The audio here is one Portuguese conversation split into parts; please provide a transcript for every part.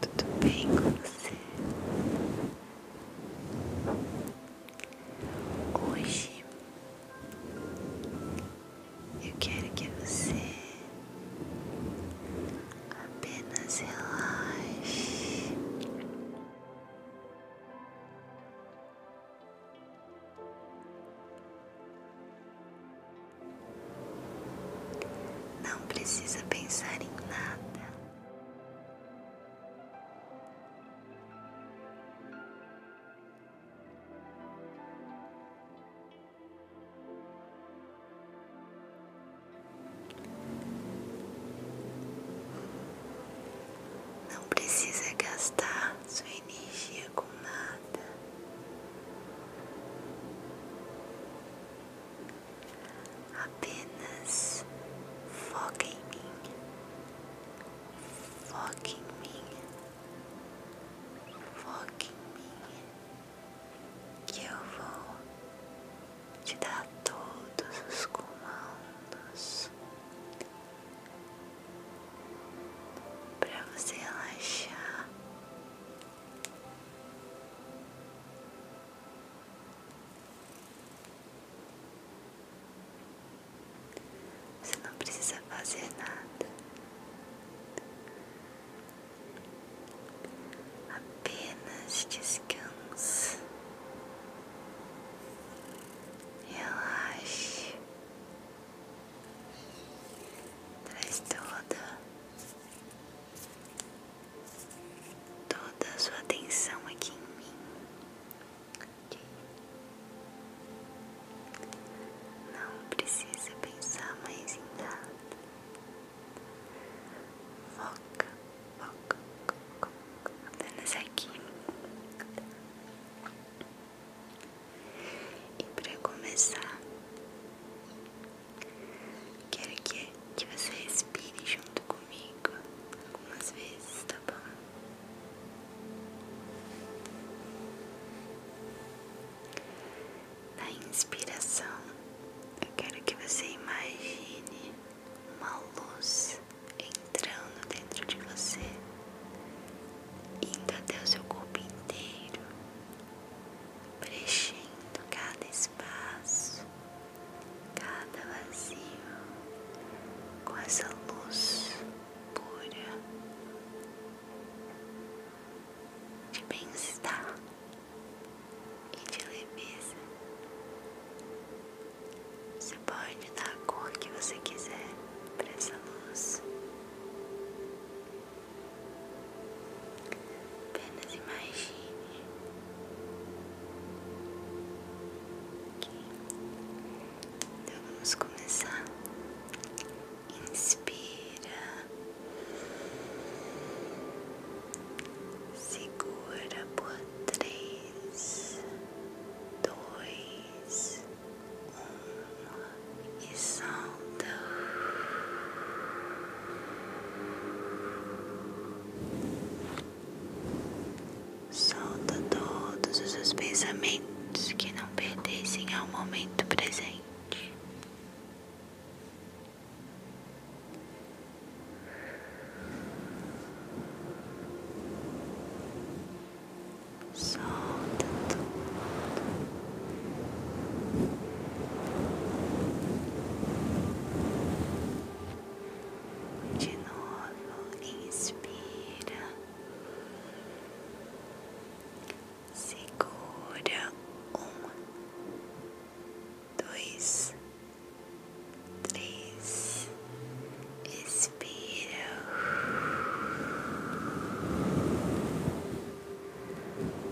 Tudo bem com você? Hoje eu quero que você apenas relaxe. Não precisa pensar em nada. Não precisa gastar sua energia com nada. Apenas foca em mim. Foque em mim. Foque em mim. Que eu vou te dar todos os comandos para você relaxar você não precisa fazer nada, apenas descanse, relaxe, traz toda toda sua atenção aqui em mim. Não precisa pensar mais em nada. Foca, foca, foca, foca apenas aqui. E para começar, Quero que, que você respire junto comigo algumas vezes, tá bom? Na inspiração, eu quero que você imagine uma luz entrando dentro de você, indo até o seu corpo inteiro preenchendo cada espaço, cada vazio com essa luz pura de bem-estar e de leveza. Você pode dar a cor que você quiser para essa luz. Apenas imagine então vamos começar. Inspira, segura por três, dois, um e solta. Solta todos os seus pensamentos que não pertencem ao momento presente. Solta tudo. De novo, inspira, segura um, dois, três, expira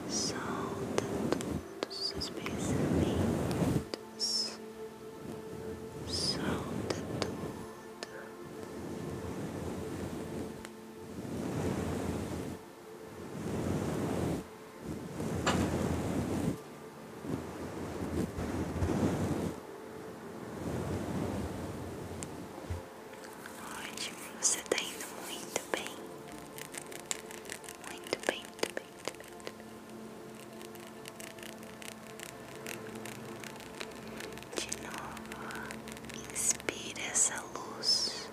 solta todos os seus pensamentos, solta tudo. Ótimo, você está indo muito bem. Muito bem, muito bem, De novo, inspira essa luz.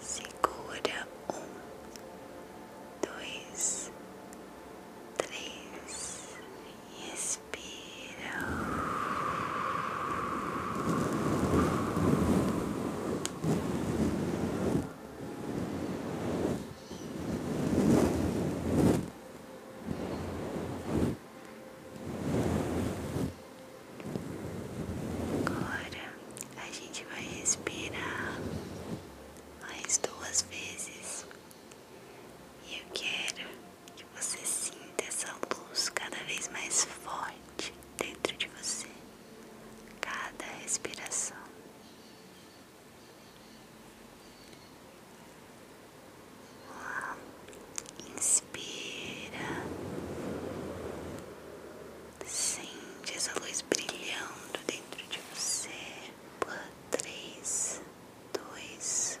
Segura um, dois, três e Inspira. Agora a gente vai respirar mais duas vezes. E eu quero que você sinta essa luz cada vez mais forte dentro de você, cada respiração. Uau. Inspira, sente essa luz brilhando dentro de você por três, dois,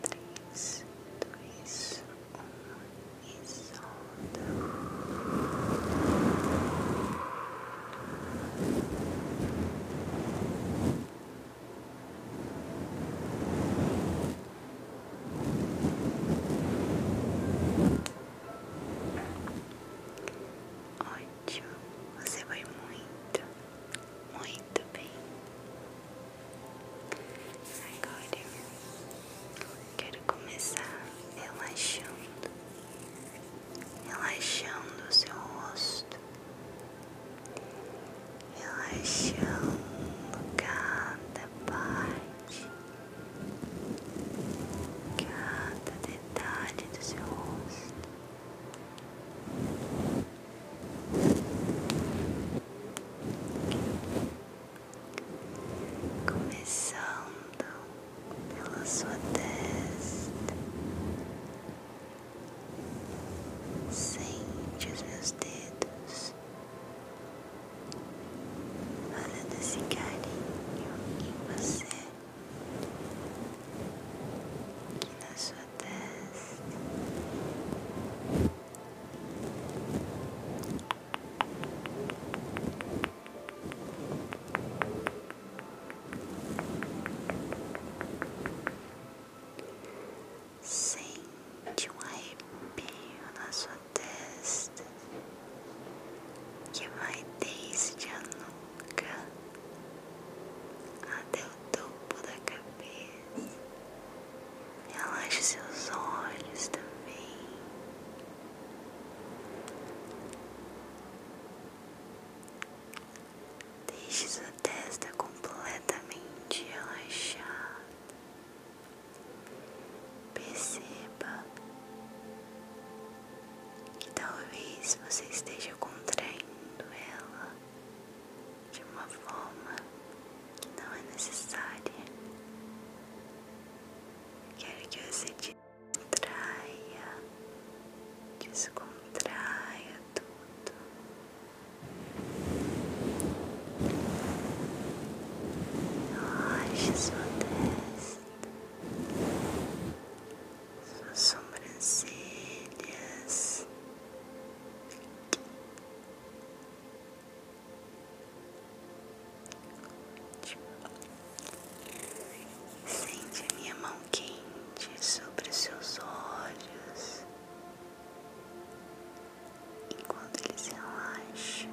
três, dois, um e solta. Ótimo, você vai muito muito bem. Agora quero começar relaxando, relaxando o seu rosto, relaxando cada parte, cada detalhe do seu rosto começando pela sua testa, sente os meus dedos, fazendo esse carinho em você, que na sua Sente um arrepio na sua testa que vai desde a nuca até topo da cabeça. Relaxe seus olhos também. Deixe sua testa completamente relaxada. Perceba que talvez você esteja contraindo ela de uma forma que não é necessária. Quero que você distraia, descontraia tudo. Relaxe sua testa suas sobrancelhas. Sente a minha mão quente sobre os seus olhos enquanto eles relaxam,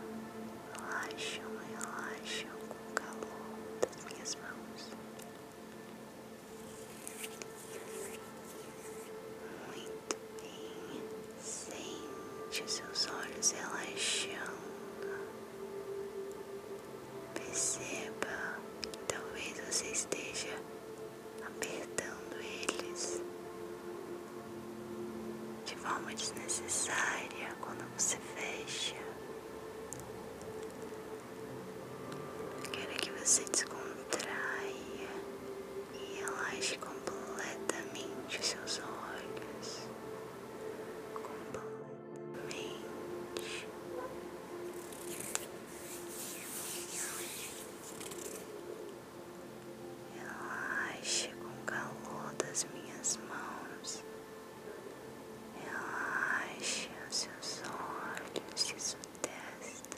relaxam, relaxam com o calor das minhas mãos. Muito bem, sente seus olhos relaxando. Perceba que talvez você esteja apertando eles de forma desnecessária quando você fecha. Quero que você descontraia e relaxe completamente os seus olhos. Completamente. Relaxe com o calor das minhas mãos. Relaxe os seus olhos e sua testa.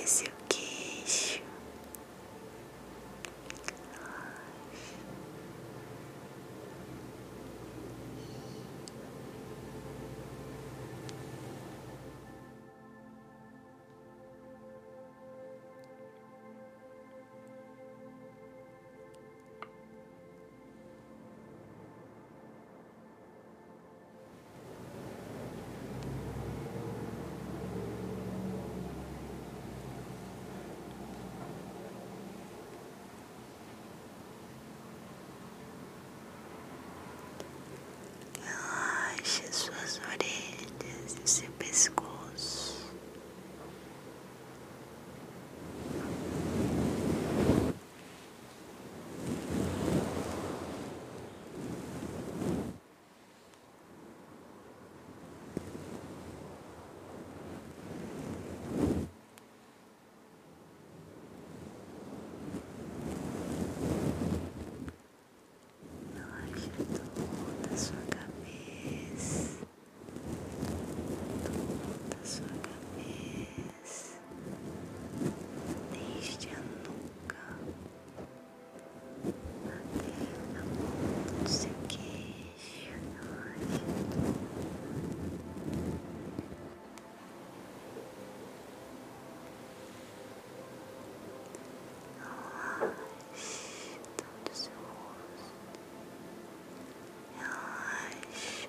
E seu é queixo Relaxe suas orelhas e seu pescoço. Relaxa toda a sua cabeça topo da sua cabeça, desde a nuca até a ponta do seu queixo. Relaxe todo seu rosto, relaxe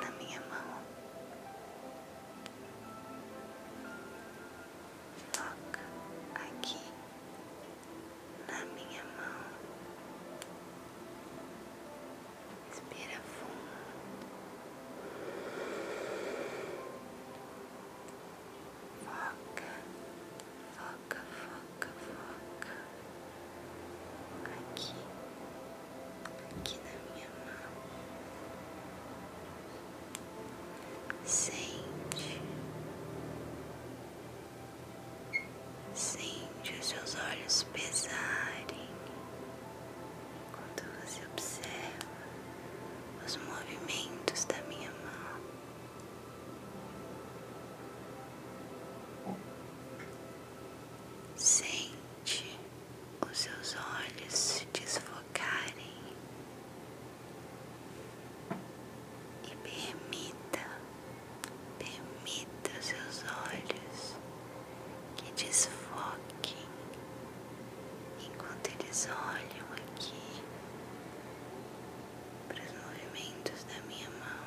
na minha mão. Toca aqui na minha mão. Respira fundo. Foca, foca, foca, foca aqui, aqui na minha mão, sente, sente os seus olhos pesarem quando você observa os movimentos da minha mão. Sente sente os seus olhos se desfocarem e permita, permita os seus olhos que desfoquem enquanto eles olham aqui para os movimentos da minha mão.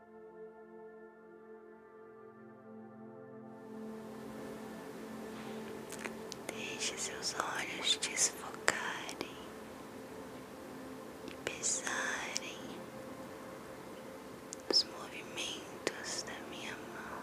Deixe seus olhos desfocarem e pesarem os movimentos da minha mão.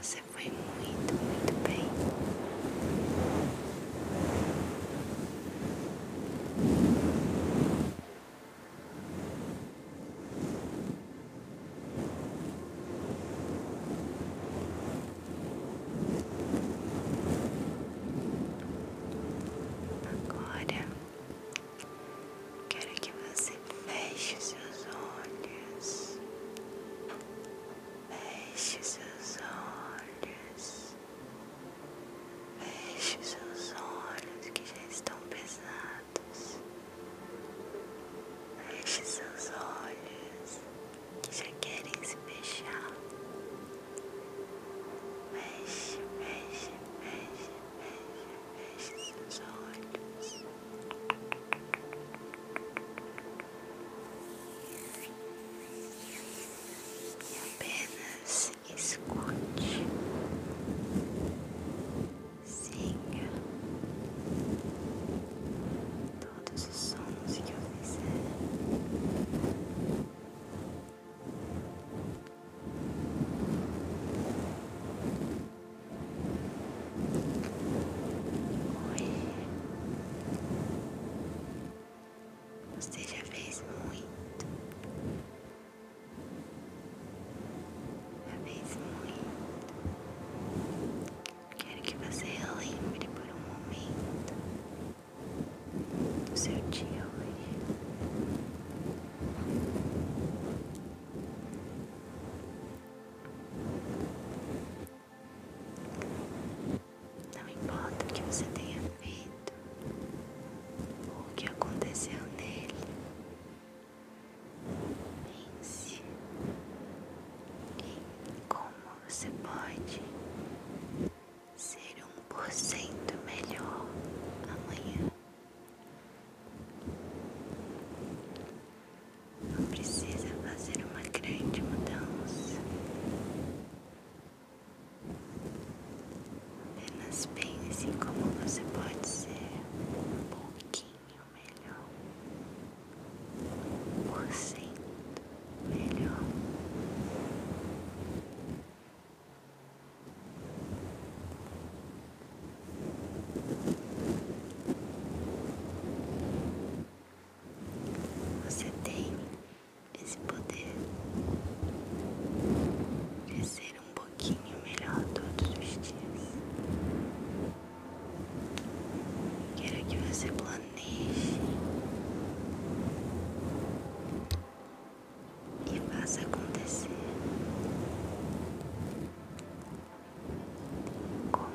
Você foi muito, muito bem. Agora Quero que você feche seus olhos. Feche seus olhos. Feche seus olhos que já estão pesados. Feche seus olhos que já querem se fechar. Feche, feche, feche, feche, esses olhos. E apenas escute, sim todos os sons que eu fizer. Oi. Você já fez muito. Já fez muito. Quero que você lembre por um momento do seu dia hoje. Não importa o que você tenha feito ou o que aconteceu nele, pense em como você pode ser um por cento melhor amanhã. Não precisa fazer uma grande mudança. Apenas pense em como você pode ser um pouquinho melhor, um por cento melhor. Você tem esse poder de ser um pouquinho melhor todos os dias. Quero que você planeje e faça acontecer como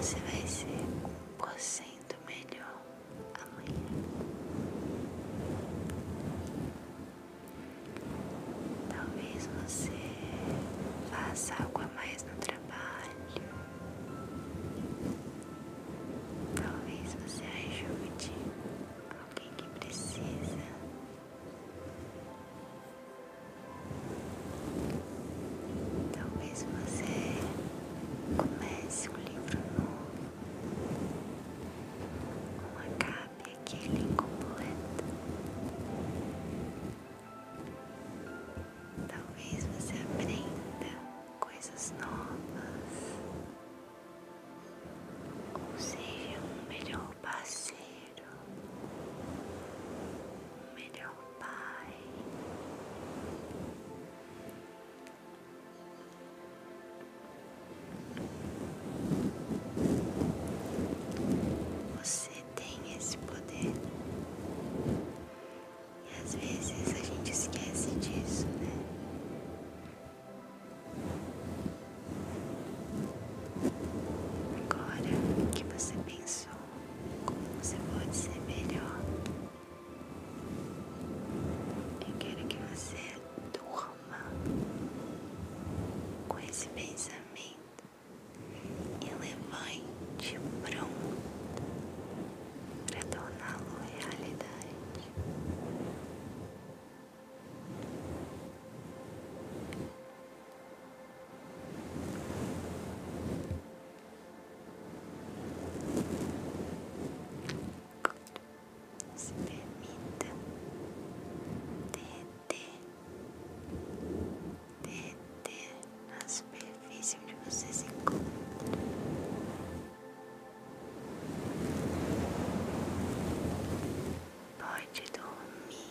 você vai ser por cento melhor amanhã. Talvez você faça algo mais no trabalho. Talvez você ajude alguém que precisa. Talvez você comece um livro novo com acabe aquele incompleto. Talvez você aprenda coisas novas ou seja um melhor parceiro companheiro, um melhor pai. Você tem esse poder e às vezes a gente esquece disso, né? Agora que você pensa pensou? Como você pode ser melhor? Eu quero que você durma com esse pensamento e levante pronto para torná-lo realidade. Se permita derreter, derreter na superfície onde você se encontra. Pode dormir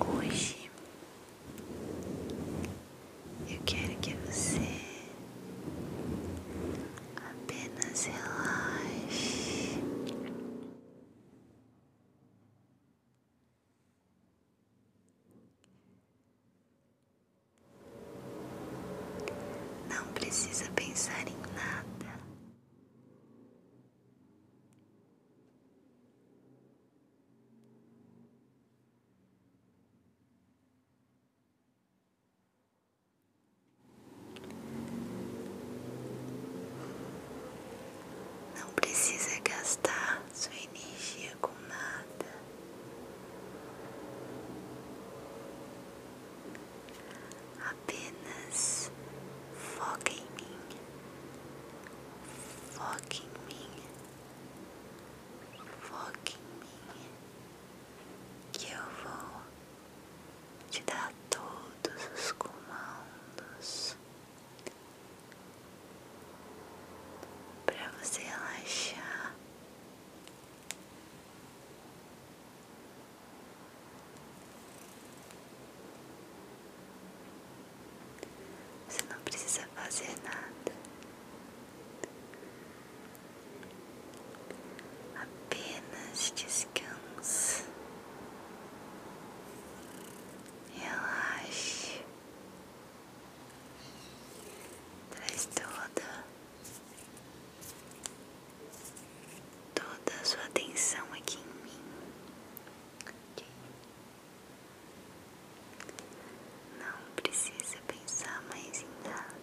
Hoje eu quero que você apenas relaxe. Não precisa pensar em nada. Não precisa gastar sua energia com nada. Apenas foca em mim Foque em mim. Foque em mim. Que eu vou te dar todos os comandos para você relaxar. Você não precisa fazer nada, apenas descanse, relaxe, traz toda. Toda sua atenção aqui em mim, não precisa pensar mais em nada.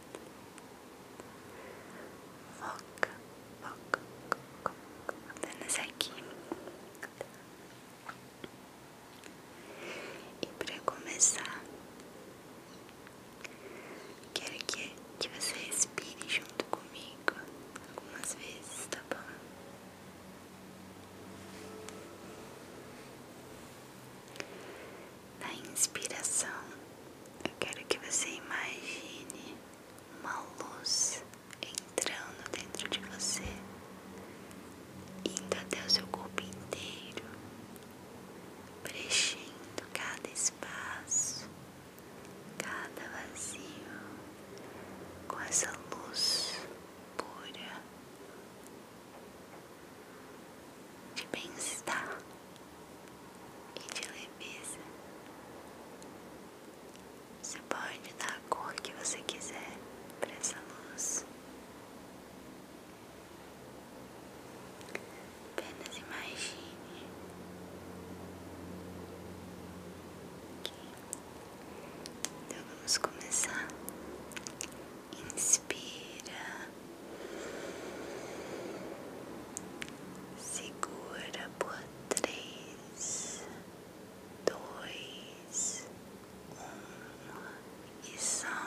Foca, foca, foca, foca apenas aqui. E para começar, quero que, que você respire junto comigo algumas vezes, tá bom? Na inspiração, eu quero que você imagine uma luz entrando dentro de você, indo até o seu corpo inteiro, preenchendo cada espaço, cada vazio com essa luz pura de bem-estar e de leveza. Você pode dar a cor que você quiser para essa luz. Apenas imagine que então vamos começar. Inspira, segura por três, dois, um e solta.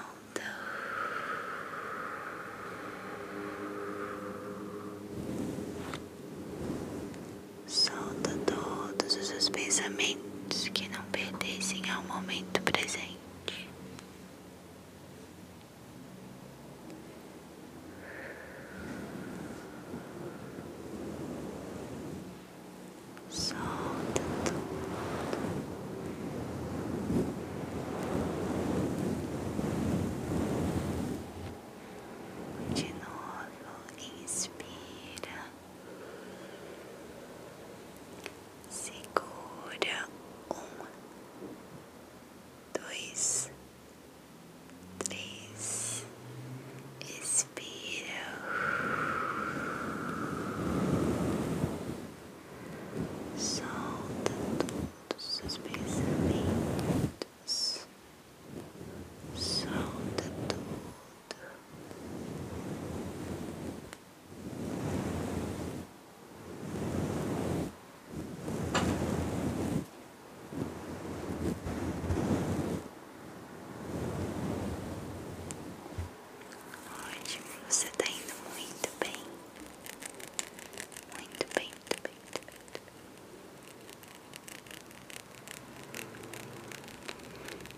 Solta todos os pensamentos que não pertencem ao momento presente. Solta tudo. De novo, inspira segura um, dois, três, expira. Solta todos os seus pensamentos solta tudo, ótimo, você está indo muito bem, muito bem, muito bem.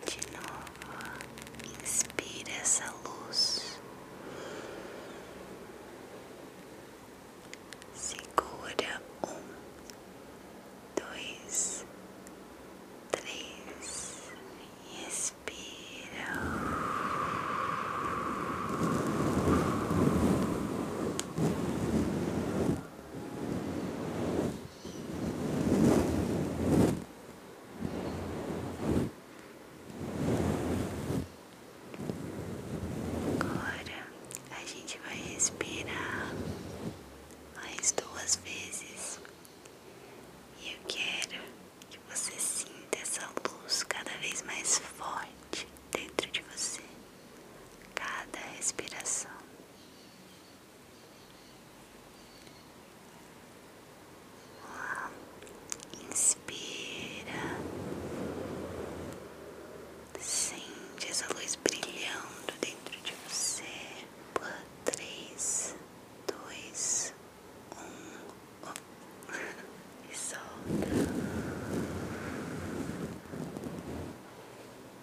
De novo, inspira essa luz, segura um, dois, três e expira. Agora a gente vai respirar mais duas vezes e eu quero que você sinta essa luz cada vez mais forte dentro de você, cada respiração. Inspira, sente essa luz brilhando dentro de você três, dois, um e solta.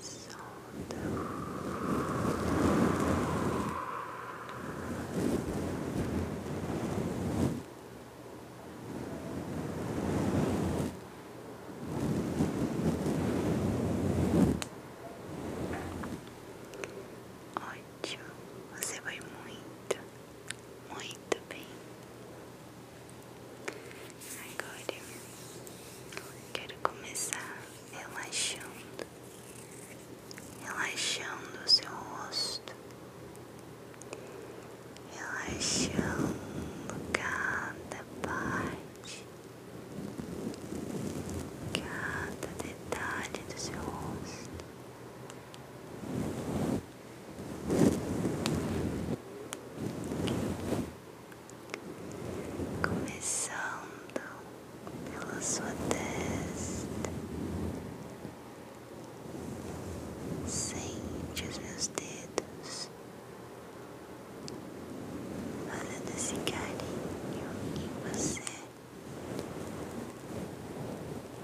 solta. Ótimo, você vai muito, muito bem. Agora quero começar relaxando, relaxando o seu rosto, relaxando cada parte, cada detalhe do seu rosto começando pela sua testa. Sente os meus dedos. Fazendo esse carinho em você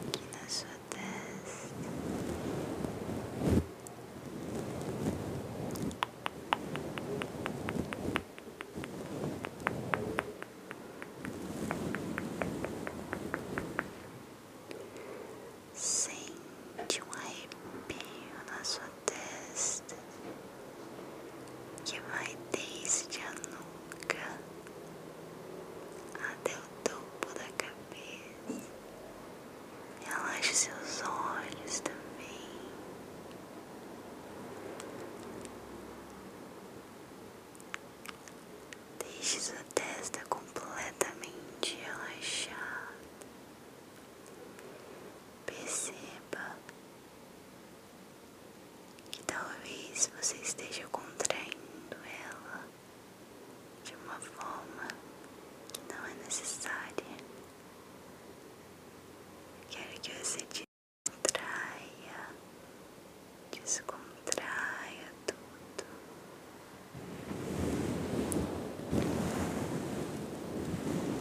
aqui na sua testa Sente um arrepio na sua testa que vai desde a nuca até o topo da cabeça. Relaxe seus olhos também. Deixe sua testa completamente relaxada. Perceba que talvez você esteja contraindo ela de uma forma que não é necessária. Quero que você descontraia, descontraia tudo.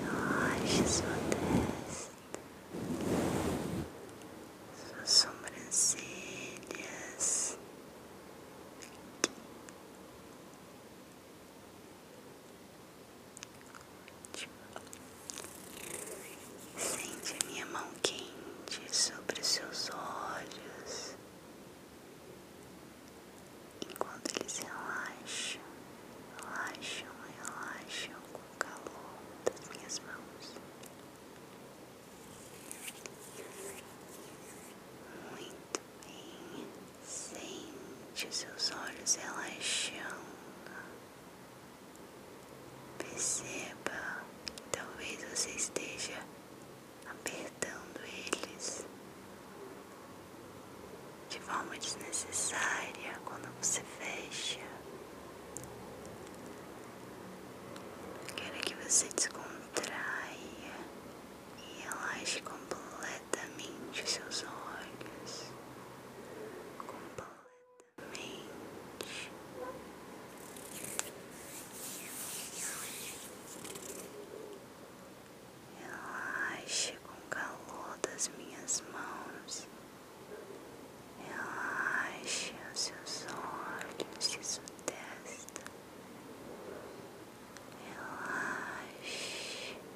Relaxe sua testa, suas sobrancelhas. Sente a minha mão quente sobre os seus olhos enquanto eles relaxam, relaxam, relaxam com o calor das minhas mãos. Muito bem, sente os seus olhos relaxando. Perceba, talvez você esteja apertando eles de forma desnecessária quando você fecha. Quero que você descontraia e relaxe completamente os seus olhos completamente. Relaxe com calor das minhas mãos. Relaxe os seus olhos e sua testa. Relaxe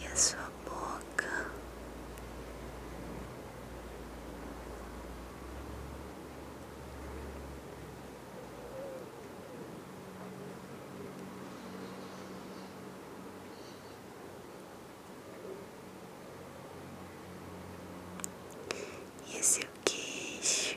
e a sua boca e seu é queixo.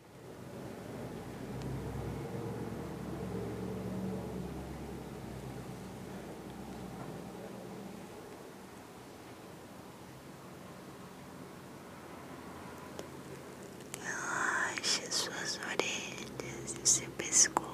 Relaxe suas orelhas e seu pescoço.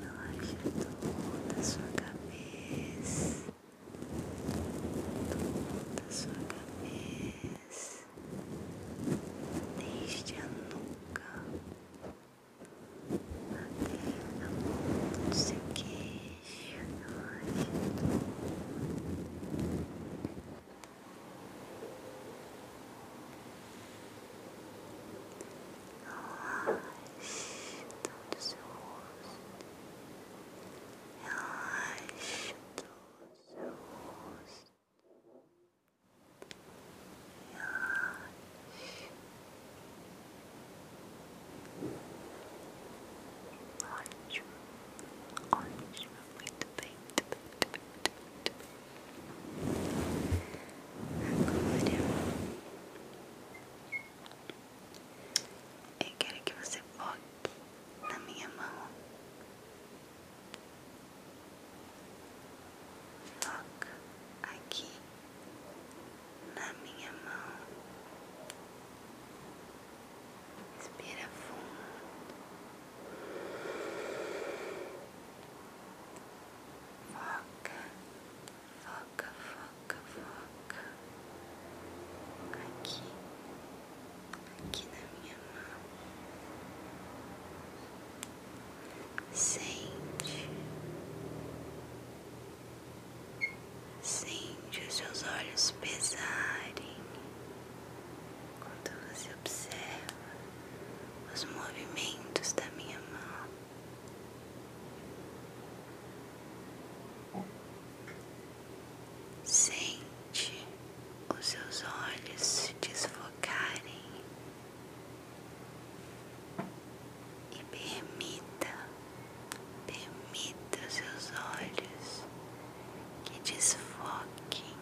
Relaxa toda a sua cabeça, toda a sua cabeça, desde a nuca terra, do seu queixo, o seu rosto. Relaxa todo o seu rosto. Ótimo, ótimo, muito bem, Agora eu quero que você foque na minha mão. Foca aqui na minha mão. Respira fundo. Foca, foca, foca, foca. Aqui, aqui na minha mão. Sente, sente os seus olhos pesarem quando você observa os movimentos da minha mão. Sente os seus olhos se desfocarem e permita, permita seus olhos que desfoquem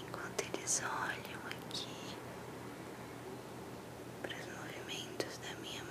enquanto eles olham aqui para os movimentos da minha mão.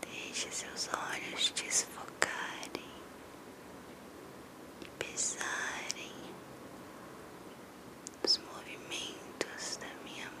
Deixe seus olhos desfocarem e pesarem os movimentos da minha mão.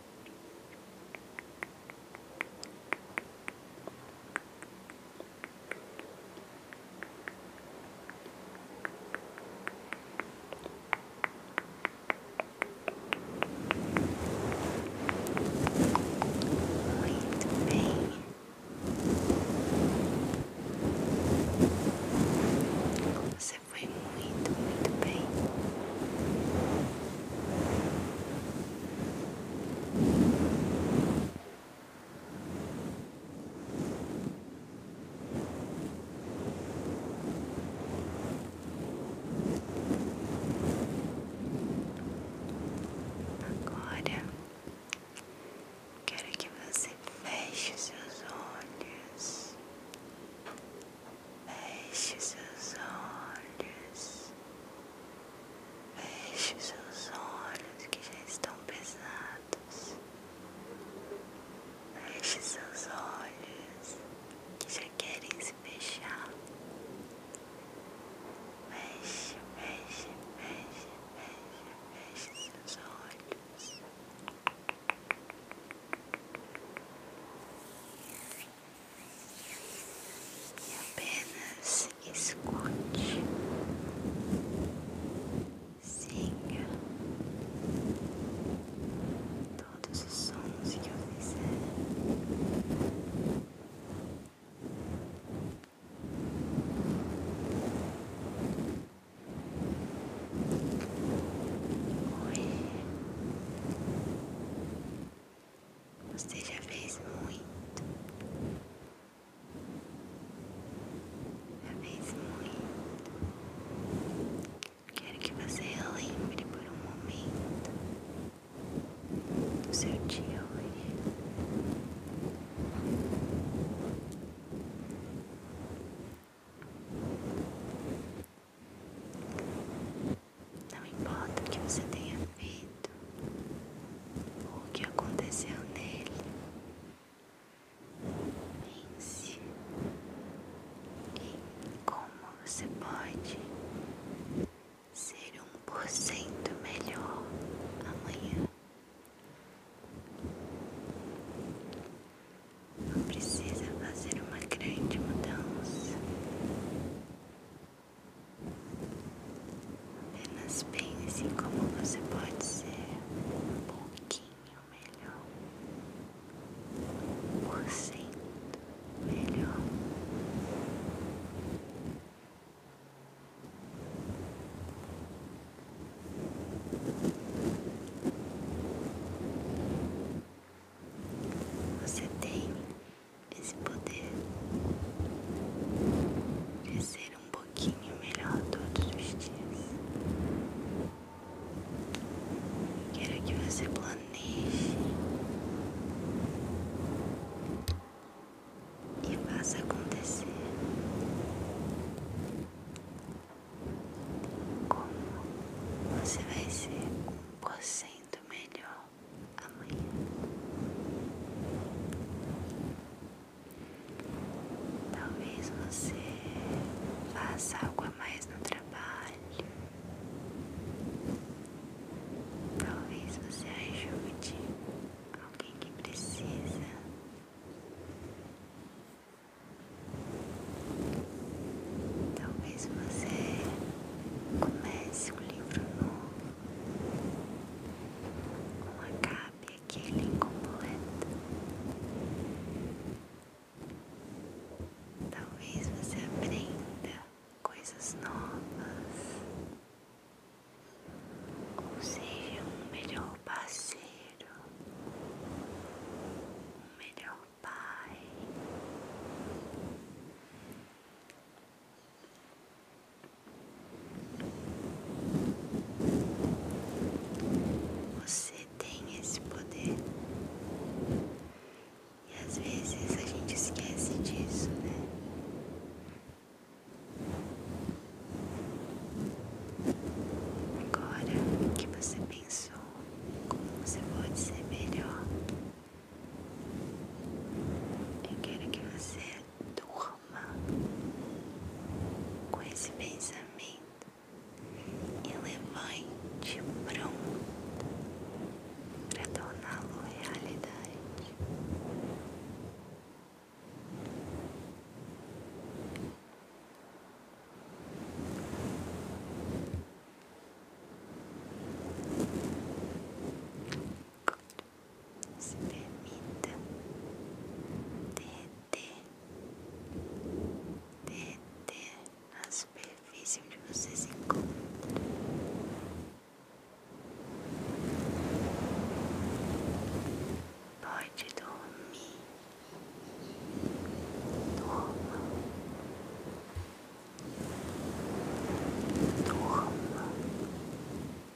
Muito bem. Você foi muito, muito bem. Agora quero que você feche seus olhos, feche seus olhos. Feche seus olhos que já estão pesados. Feche seus olhos que já querem se fechar. Feche, feche, feche, feche, feche seus olhos e apenas escute, siga todos os sons que eu fizer. Hoje você já fez muito. Já fez muito. Quero que você lembre por um momento do seu dia hoje. Não importa o que você tenha feito ou o que aconteceu nele, pense em como você pode ser um por cento melhor amanhã. Não precisa fazer uma grande mudança. Apenas pense como você pode ser um pouquinho melhor, um por melhor. Você tem esse poder de ser um pouquinho melhor todos os dias. Quero que você planeje e faça acontecer. Como você vai ser um por cento melhor amanhã. Talvez você faça algo a mais no trabalho. Talvez você ajude alguém que precisa. Talvez você comece um livro novo com a cabe aquele incompleto. Talvez você aprenda coisas novas ou seja um melhor parceiro, um melhor pai. Você tem esse poder. E às vezes a gente esquece disso, né? Agora que você pensou como você pode ser melhor, eu quero que você durma com esse pensamento e levante pronto para torná-lo realidade. Se permita derreter, derreter na superfície onde você se encontra. Pode dormir, dorma, dorma